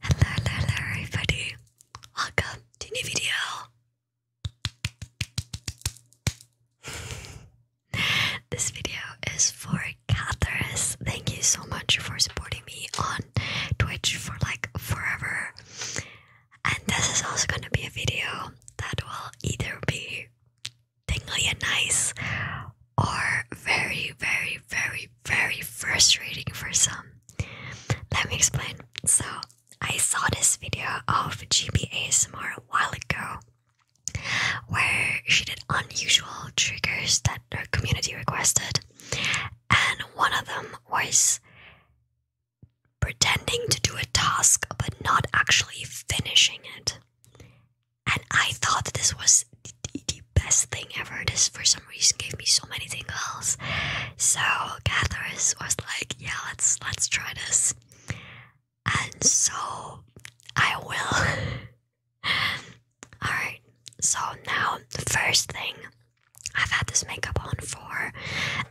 Hello, hello, hello, everybody. Welcome to new video. this video is for Catharus. Thank you so much for supporting me on Twitch for like forever. And this is also going to be a video that will either be tingly and nice or very, very, very, very frustrating for some. Let me explain. So, I saw this video of GB ASMR a while ago where she did unusual triggers that her community requested, and one of them was pretending to do a task but not actually finishing it. And I thought that this was the best thing ever. This, for some reason, gave me so many tingles. So Catharus was like, "Yeah, let's let's try this," and so I will. All right. So now the first thing. I've had this makeup on for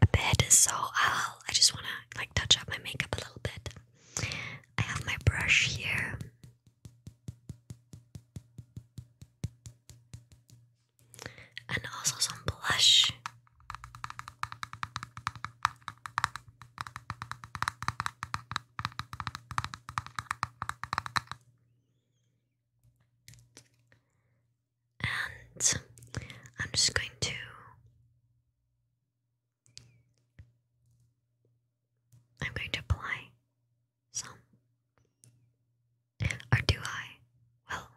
a bit, so I'll, I just want to like touch up my makeup a little bit. I have my brush here and also some blush. And I'm just going to I'm going to apply some. Or do I? Well,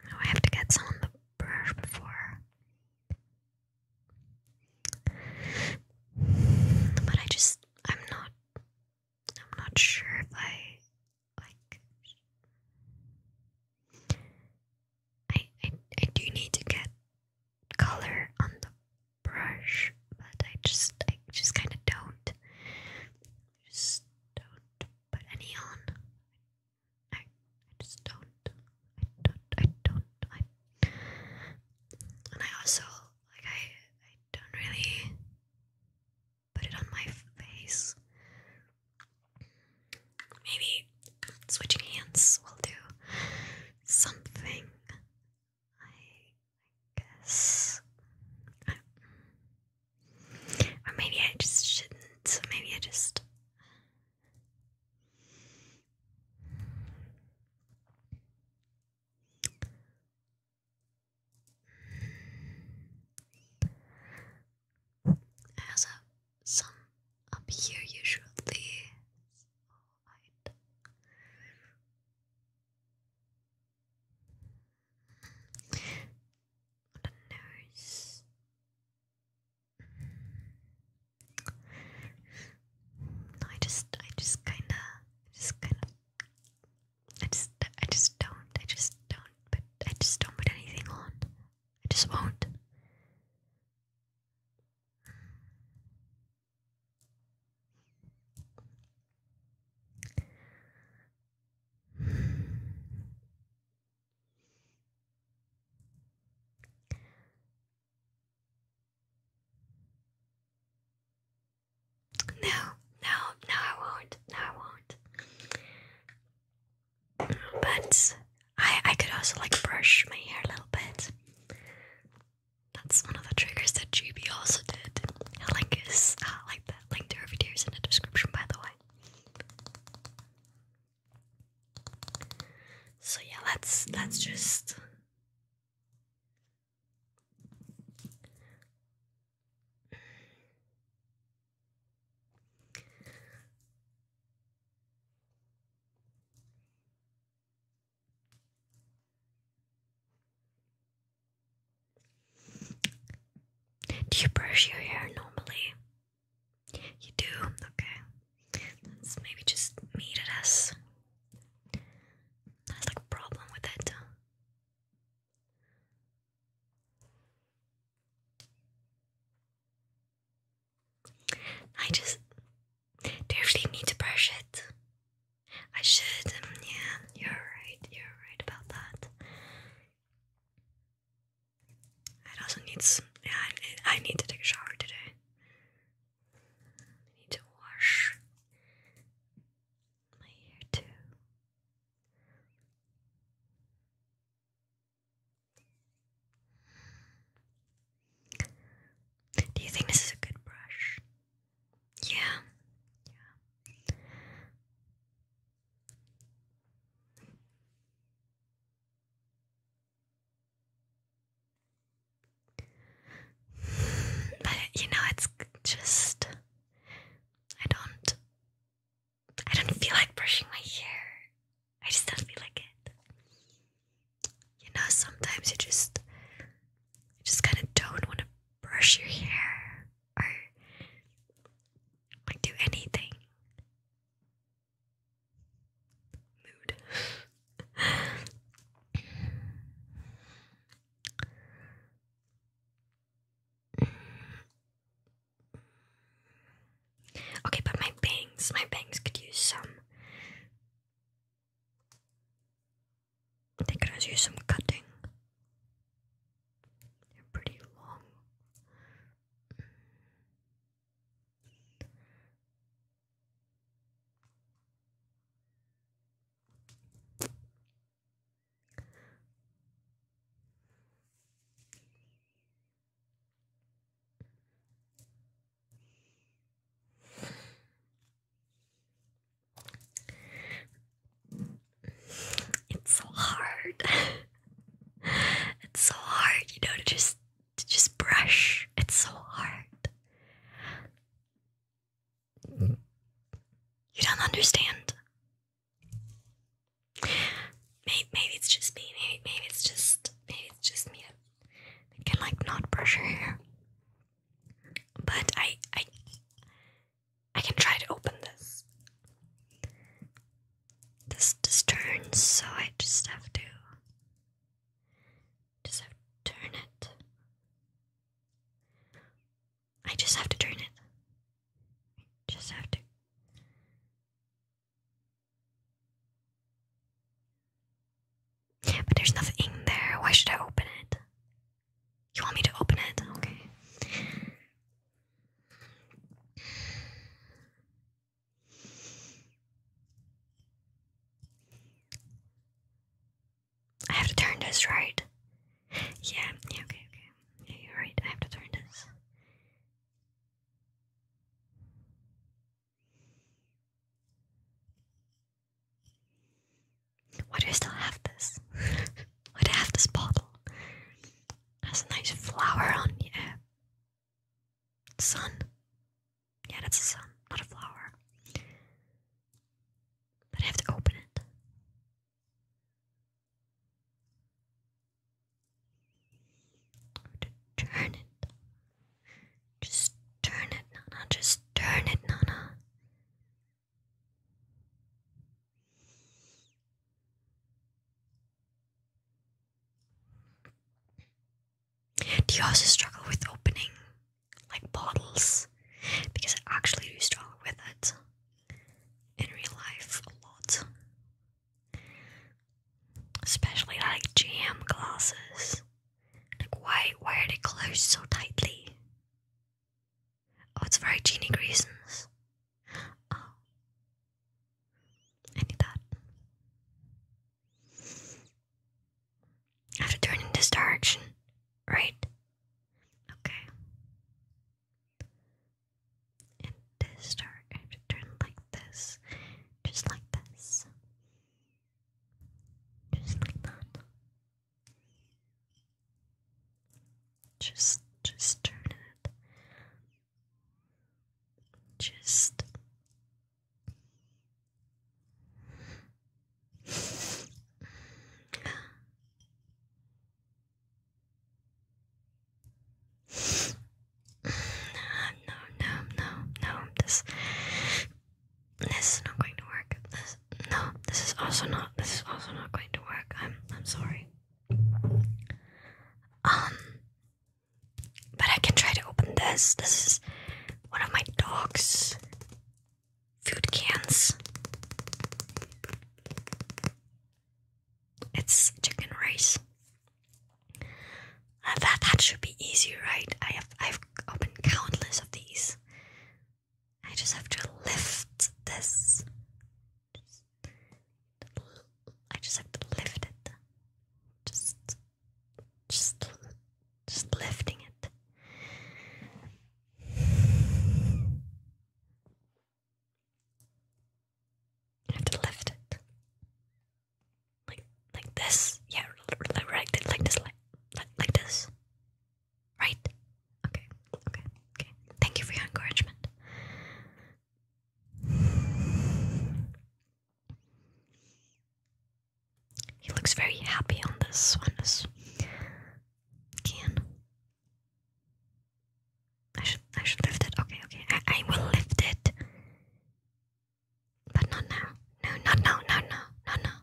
oh, I have to get some on the brush before. But I just, I'm not I'm not sure if I like I, I I do need to get color on the brush, but I just I just kinda don't. Just don't put any on. I, I just don't. I don't I don't I and I also like I I don't really put it on my face. Maybe switching hands will do something. I guess. or maybe I just shouldn't. Maybe I just. It has some up here usually. Alright. The nose. I just, I just kinda, just kinda I just, I just don't. I just don't. But I just don't put anything on. I just won't. No, no, no, I won't. No, I won't. But I I could also like brush my hair a little bit. That's one of the triggers that GB also did. The link is uh, like that link to her videos in the description, by the way. So yeah, let's let's just do you brush your hair normally? You do? Okay. Let's maybe just meet it as. That's like a problem with it. I just definitely need to brush it. I should, um, yeah, you're right, you're right about that. I also need some, yeah, I, need to take a shower today. need to wash my ear too. Do you think this is a good brush? Yeah. Yeah. But you know, it's just I don't I don't feel like brushing my hair. I just don't feel like it. You know, sometimes you just you just kind of don't want to brush your hair or like do anything. Mood. Okay, but my bangs, my bangs could use some. They could use some cutting. They're pretty long. It's so hard. it's so hard, you know, to just to just brush. It's so hard. You don't understand. Maybe, maybe it's just me. Maybe, maybe it's just maybe it's just me that can like not brush her hair. But I I I can try to open this. This this turns, so I just have to just turn it. I just have to turn it. just have to. But there's nothing there. Why should I open it? You want me to open it? Okay. I have to turn this, right? Yeah, yeah, okay, okay. Yeah, you're right. I have to turn this. Why do I still have this? Why do I have this bottle? Has a nice flower on Yeah. Sun. Yeah, that's sun, not a flower. But I have to open it. To turn it. Just turn it, Nana. Just turn it, Nana. Do you also struggle with opening like bottles because I actually do struggle with it in real life a lot. Especially like jam glasses. Like why why are they closed so tightly? Oh it's for hygienic reasons. Oh I need that. I have to turn in this direction, right? Okay. And this start I have to turn like this. Just like this. Just like that. Just just turn it. Just no, no, no, no. This, this is not going to work. This, no, this is also not. This is also not going to work. I'm, I'm sorry. Um, but I can try to open this. This is one of my dogs food cans. It's chicken rice. Uh, that that should be easy, right? I have I've opened countless of these. I just have to lift this. I just have to lift it. Just, just, just lifting it. I have to lift it. Like like this. Yeah, right like this like like, this. Right? Okay. Okay. Okay. Thank you for your encouragement. He looks very happy on this one. can I should I should lift it. Okay, okay. I, I will lift it. But not now. No, not now, no, no, not now.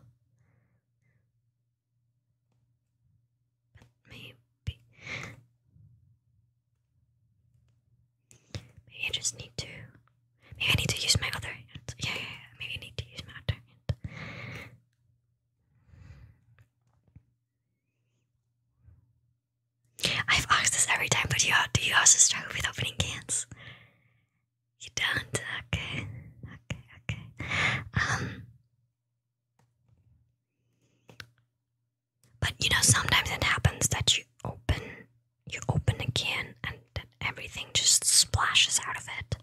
But maybe Maybe I just need to maybe I need to use my other hand. yeah, yeah. Maybe I need to use my other hand. I've asked this every time, but you do you also struggle with opening cans? You don't? Okay. Okay, okay. Um. But you know sometimes it happens that you open you open a can and everything just splashes out of it.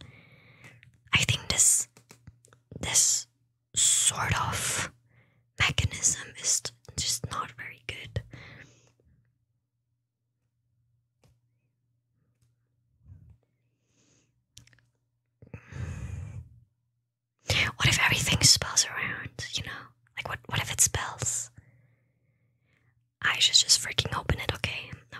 I think this this sort of mechanism is just not very good. What if everything spells around, you know? Like what what if it spells? I should just freaking open it, okay? No,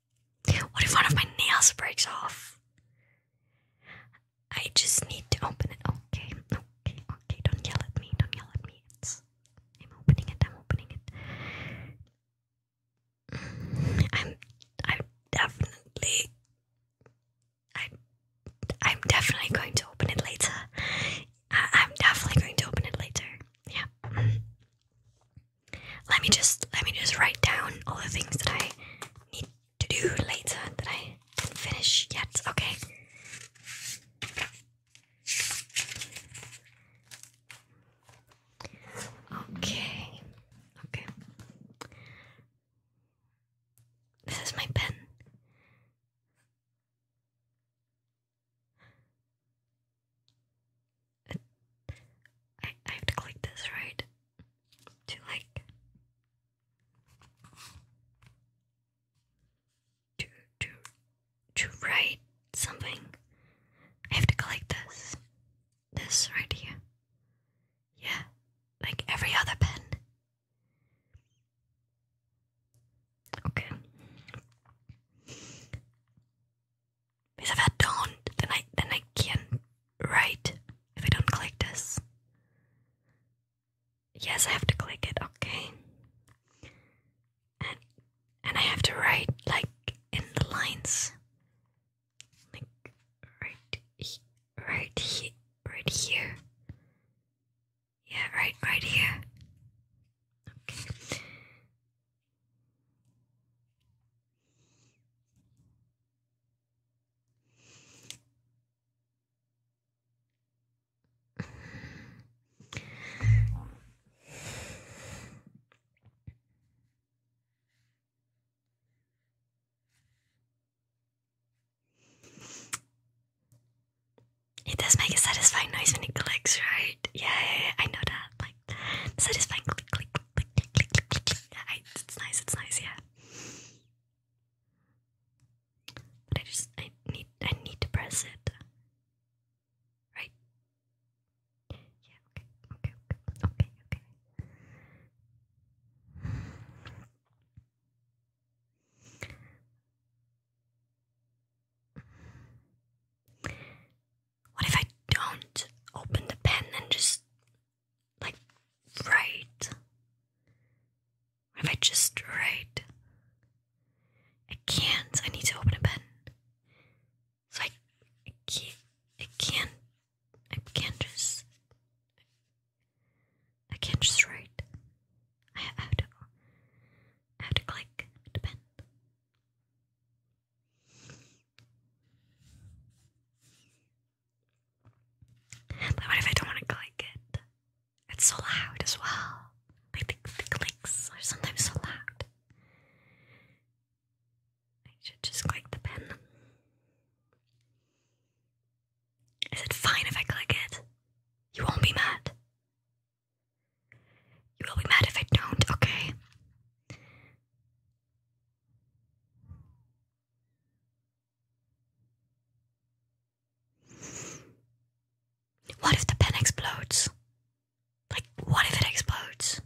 What if one of my nails breaks off? I just need to open it. Okay, okay, okay. Don't yell at me. Don't yell at me. I'm opening it. I'm opening it. Mm, I'm. I'm definitely. i I'm definitely going to open it later. I'm definitely going to open it later. Yeah let me just let me just write down all the things that I need to do later that I didn't finish yet. Okay. Okay. Okay. This is my pen. I, I have to click this, right? To like to to to write something. I have to click this. This right here. Yeah. Like every other pen. Okay. Because if I don't, then I then I can't write if I don't click this. Yes, I have to click it, okay. And and I have to write like in the lines. Like right right here right here. Yeah, right right here. Okay. It does make a satisfying noise when it clicks, right? Yeah, I know that satisfying, Click, click, click, click, click, click, click. it's nice. It's nice. Yeah. But I just I need I need to press it. Right. Yeah. Okay. Okay. Okay. Okay. Okay. What if I don't open the pen and just, like, write? What if I just write? I can't. I need to open a pen. So I, I can't. I can't. just. I can't just write. I have to. I have to click the pen. But what if I don't want to click it? It's so loud as well. Like the, the clicks are sometimes so loud. I should just click the pen. Is it fine if I click it? You won't be mad. You will be mad if I don't, okay? What if the pen explodes? Like, what if it explodes?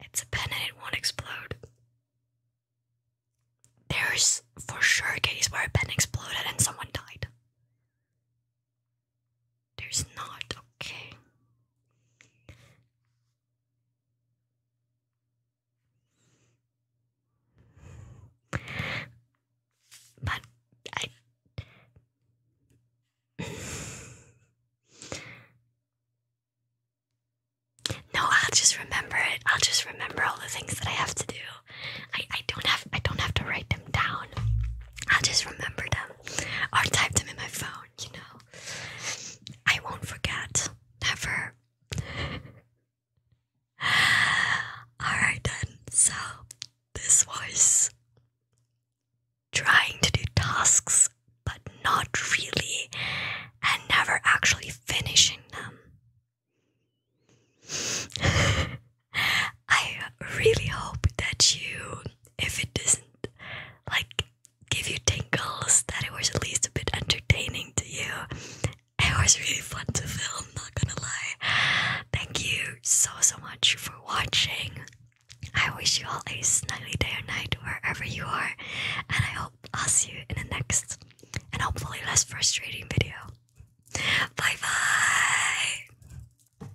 It's a pen and it won't explode. There's for sure a case where a pen exploded and someone died. There's not, okay. But I No, I'll just remember it. I'll just remember all the things that I have to do. I, I don't have I don't have to write them down. I'll just remember them or type them in my phone you know. I won't forget. Never. Alright then, so this was trying to do tasks but not really and never actually finishing them. I really hope that you if it doesn't like give you tingles, that it was at least a bit entertaining to you. It was really fun to film, not gonna lie. Thank you so so much for watching. I wish you all a snuggly day or night wherever you are, and I hope I'll see you in the next and hopefully less frustrating video. Bye bye!